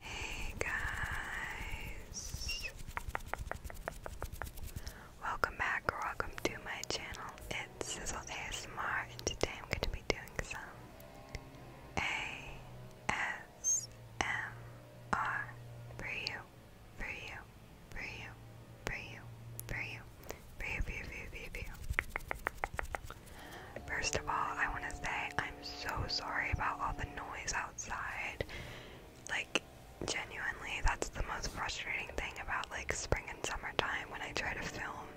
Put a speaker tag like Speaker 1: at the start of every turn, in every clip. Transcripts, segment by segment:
Speaker 1: Hey guys! Welcome back or welcome to my channel. It's Sizzle ASMR and today I'm going to be doing some ASMR for you, for you, for you, for you, for you, for you, for you, for you, for you, First of all, I want to say I'm so sorry about all the noise outside. Like, genuinely, that's the most frustrating thing about like spring and summer time when I try to film.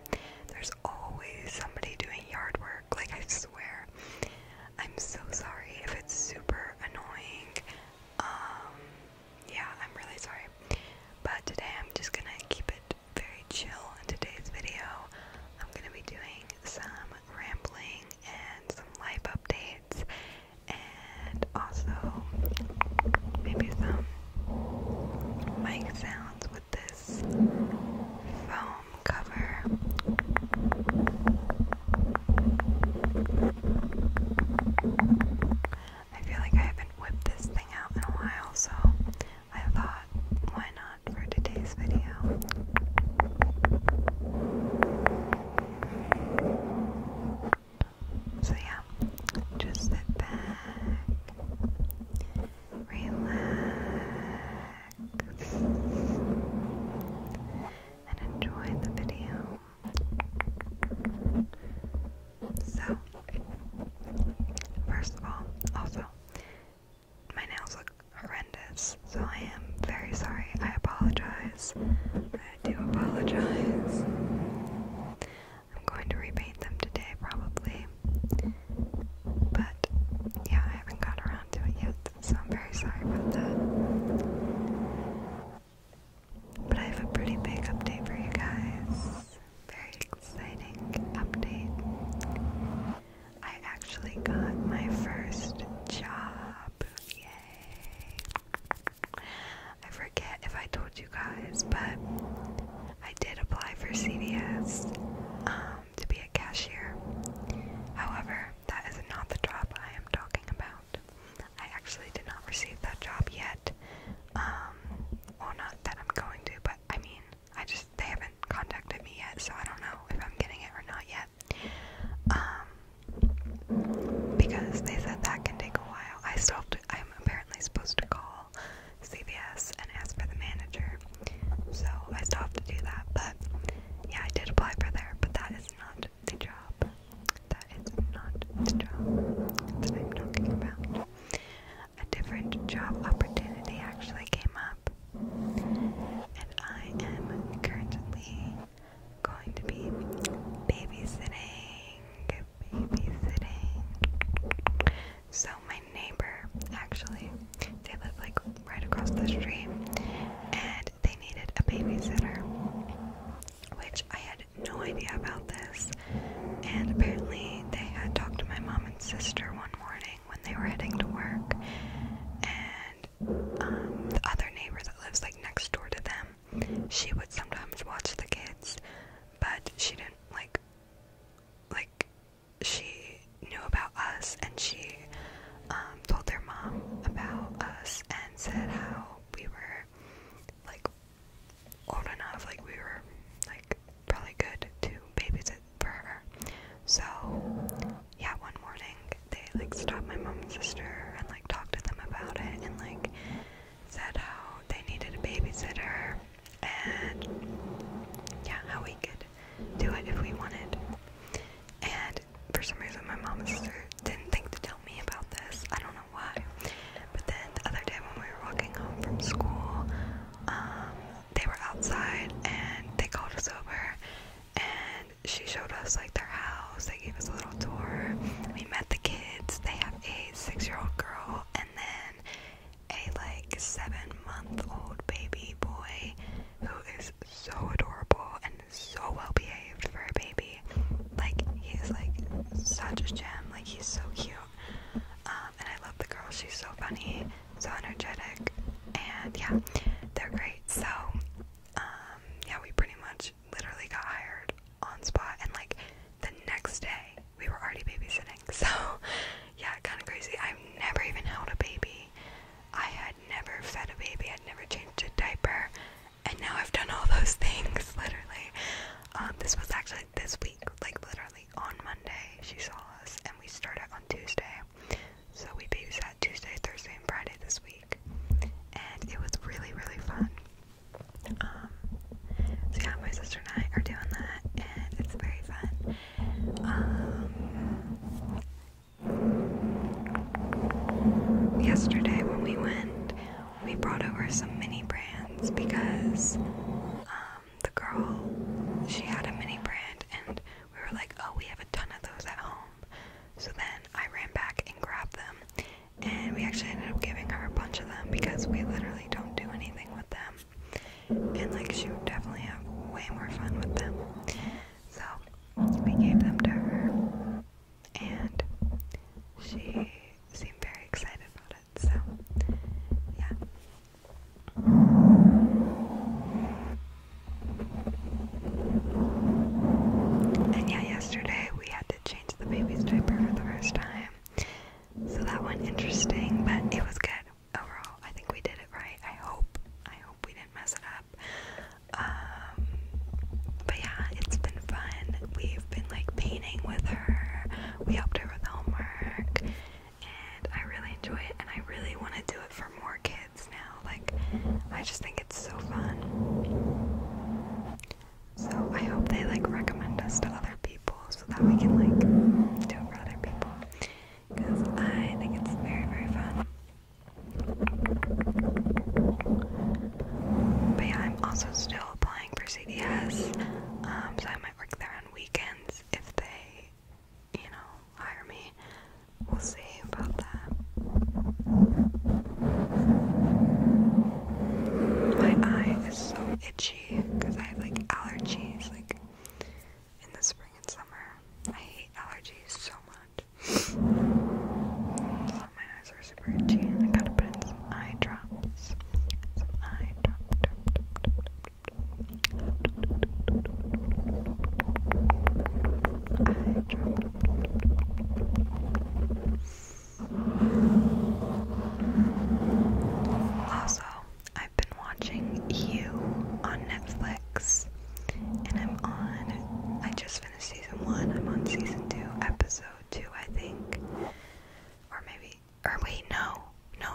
Speaker 1: There's always somebody doing yard work, like, I swear. I'm so sorry if it's super annoying. Um, yeah, I'm really sorry. But today I'm just gonna keep it very chill in today's video. I'm gonna be doing some rambling and some life updates, and also maybe some mic sounds with this foam cover. I feel like I haven't whipped this thing out in a while, so I thought, why not? for today's video. So, yeah, just sit back, relax, and enjoy the video. So, first of all, also, my nails look horrendous, so I am very sorry. I apologize. I do apologize. I'm going to repaint them today, probably. But yeah, I haven't got around to it yet, so I'm very sorry about that. But I have a pretty big update for you guys very exciting update. I actually got my first job. Yay! I forget if I told you guys, but I did apply for CVS um, to be a cashier. However, that is not the job I am talking about. I actually did not receive that job yet. Um, well, not that I'm going to, but I mean, I just they haven't contacted me yet, so I don't know if I'm getting it or not yet. Um, because they said that can take a while. I still I'm apparently supposed to call CVS and ask for the manager, so I still have to do that. But yeah, I did apply for there, but that is not the job. That is not the job that I'm talking about a different job opportunity actually came up, and I am currently going to be babysitting, babysitting. So my neighbor actually, they live like right across the street, and they needed a babysitter, which I had no idea about this and apparently they had talked to my mom and sister one morning when they were heading to work, and um, the other neighbor that lives like next door to them, she would sometimes watch the kids, but she didn't like, like, she knew about us and she um, told their mom about us and said how we were like old enough, like we were like probably good to babysit for her. So yeah, one morning they like stopped my mom and sister and like talked to them about it and like said how they needed a babysitter and yeah, how we could do it if we wanted. And for some reason my mom and sister didn't think to tell me about this. I don't why. But then the other day when we were walking home from school, um, they were outside and they called us over and she showed us like their house. They gave us a little tour. We met the kids. They have a six year old girl and then a like seven month old baby boy who is so adorable and so well behaved for a baby. Like he is like such a gem. Like he's so cute. Um, and I love the girl. She's so funny, so energetic, and yeah, they're great. So, um, yeah, we pretty much literally got hired on spot, and like the next day we were already babysitting. So, yeah, kind of crazy. I've never even held a baby. I had never fed a baby. I'd never changed a diaper, and now I've done all those things. Literally, um, this was actually this week, like literally on Monday, she saw us, and we started on Tuesday. So we babysat Tuesday, Thursday, and Friday this week, and it was really, really fun. Um, so yeah, my sister and I are doing that, and it's very fun. Um, yesterday when we went, we brought over some mini brands because um, the girl, she had a mini brand, and we were like, oh, we have a ton of those at home. So then I ran back and grabbed them, and we actually ended up giving her a bunch of them because we literally don't do anything with them. And like, she would definitely have way more fun with them. So we gave them to her and she seemed very excited about it, so yeah. And yeah, yesterday we had to change the baby's diaper for the first time. So that went interesting, but it was good overall. I think we did it right. I hope. I hope we didn't mess it up. Um, um, but yeah, it's been fun. We've been like painting with her. We helped her with homework, and I really enjoy it. And I really want to do it for more kids now. Like, I just think it's so fun. So I hope they like recommend us to other people so that we can like do it for other people. Because I think it's very, very fun. But yeah, I'm also still applying for CDS, um, so I might work there on weekends if they, you know, hire me. We'll see about that. My eye is so itchy because I have like allergies, like in the spring and summer. I hate allergies so much my eyes are super itchy I gotta put in some eye drops. Some eye drop, Also, I've been watching You on Netflix and I'm on I just season one. I'm on season two, episode two, I think. Or maybe, or wait, no, no.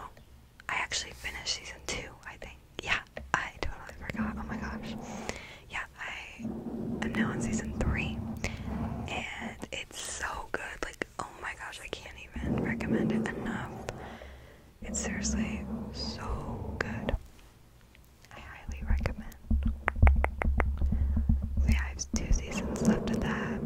Speaker 1: I actually finished season two, I think. Yeah, I totally forgot. Oh my gosh. Yeah, I am now on season three. And it's so good. Like, oh my gosh, I can't even recommend it enough. It's seriously so good. I highly recommend. So have two seasons left of that.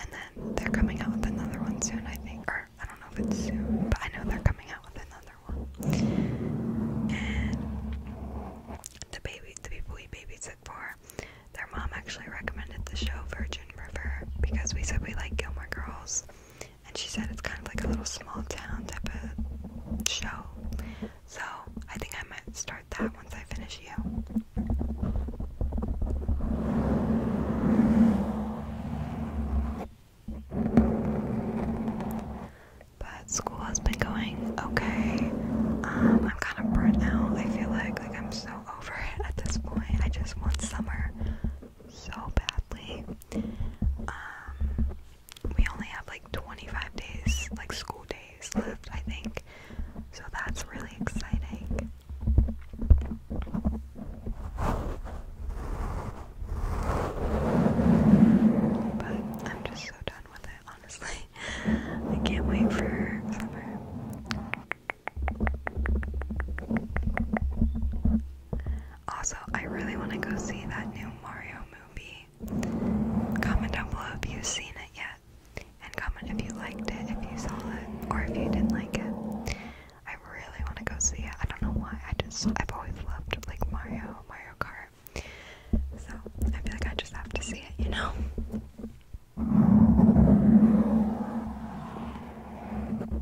Speaker 1: And then they're coming out with another one soon, I think. Or I don't know if it's soon, but I know they're coming out with another one. And the people we babysit for, their mom actually recommended the show Virgin River because we said we like Gilmore Girls, and she said it's kind of like a little small town type of show. So I think I might start that once I finish you. But school has been going okay. Um, I'm kind of burnt out. I feel like like I'm so over it at this point. I just want summer so badly. Um, we only have like 25 days, like school days left, I think. So that's really exciting. But I'm just so done with it, honestly. I can't wait for summer. Also, I really want to go see that new Mario movie. Comment down below if you've seen it yet. And comment if you liked it, if you saw it, or if you didn't like it. I really want to go see it. I don't know why. I just I've always loved like Mario, Mario Kart. So I feel like I just have to see it, you know.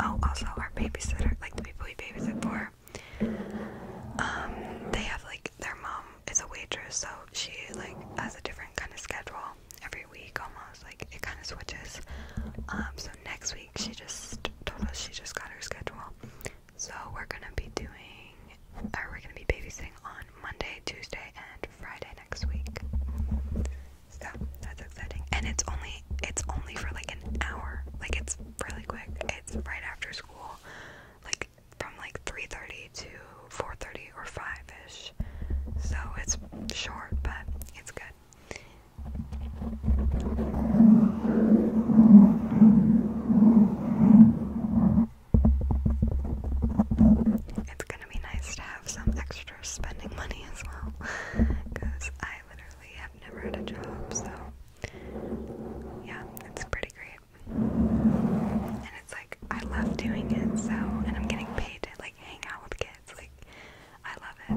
Speaker 1: Oh, also our babysitter, like the people we babysit for, um, they have like their mom is a waitress, so she like has a different kind of schedule every week almost. Like it kind of switches. Um, so next week she just told us she just got her schedule. So we're gonna be doing, or we're gonna be babysitting on Monday, Tuesday, and Friday next week. So that's exciting, and it's only it's only for like an hour. Like it's really quick. It's right after school, like from like 3:30 to 4:30 or 5 ish. So it's short, but it's good. It's gonna be nice to have some extra spending money as well because I literally have never had a job, so yeah, it's pretty great. And it's like, I love doing it, so, and I'm getting paid to like hang out with kids, like, I love it.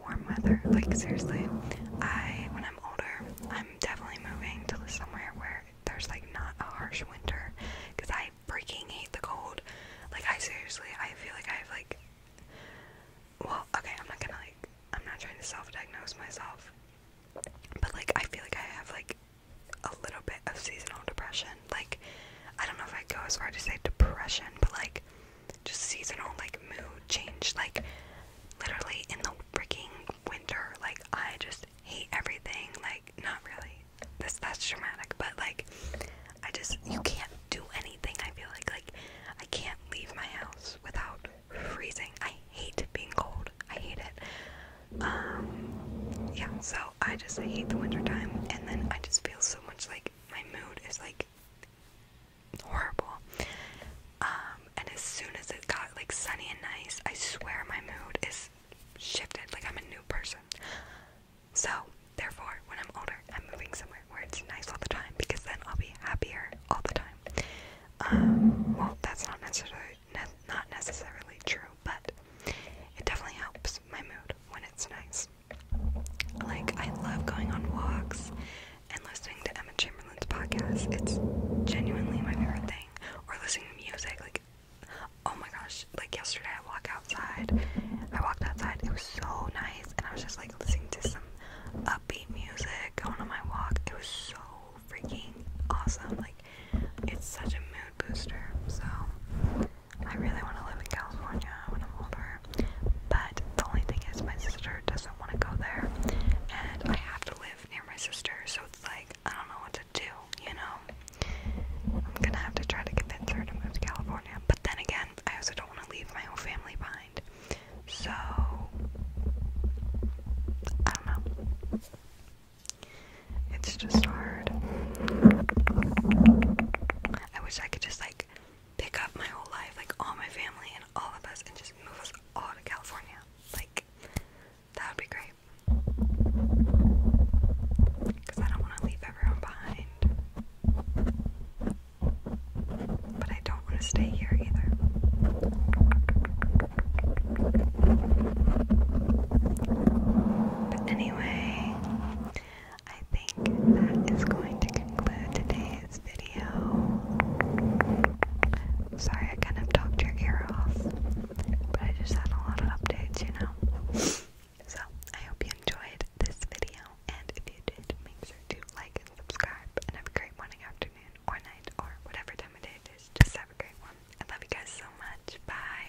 Speaker 1: warm weather. Like seriously, I when I'm older, I'm definitely moving to somewhere where there's like not a harsh winter, because I freaking hate the cold. Like I seriously, I feel like I have like. Well, okay, I'm not gonna like. I'm not trying to self-diagnose myself, but like I feel like I have like a little bit of seasonal depression. Like I don't know if I go as far to say depression, but like just seasonal like mood change like literally in the freaking winter like I just hate everything like not really this that's dramatic but like I just you can't do anything I feel like like I can't leave my house without freezing I hate being cold I hate it um yeah so I just hate the wintertime, and then I just feel so much like my mood is like horrible. Um, and as soon as it got like sunny and nice, I swear my mood is shifted. Like I'm a new person. So, therefore, when I'm older, I'm moving somewhere where it's nice all the time because then I'll be happier all the time. Um, well, that's not necessarily not necessarily true, but it definitely helps my mood when it's nice. Like, I love going on walks and listening to Emma Chamberlain's podcast. It's genuinely my favorite thing. Or listening to music. Like, oh my gosh. Like, yesterday I walked outside. I walked outside. It was so nice. And I was just like listening to some upbeat music going on my walk. It was so freaking awesome. Like, it's such a mood booster. So, I really want to live in California when I'm older. But the only thing is, my sister doesn't want to go there, and I have to live near my sister, so it's like I don't know what to do, you know? I'm gonna have to try to convince her to move to California, but then again, I also don't want to leave my whole family behind, so I don't know. It's just hard. I wish I could just like pick up my whole life, like all my family and all of us, and just move us all to California. Like, that would be great. Because I don't want to leave everyone behind. But I don't want to stay here either. But anyway, I think that is going to conclude today's video. Sorry, I kind of talked your ear off, but I just had a lot of updates, you know. So, I hope you enjoyed this video, and if you did, make sure to like and subscribe, and have a great morning, afternoon, or night, or whatever time of day it is. Just have a great one. I love you guys so much. Bye.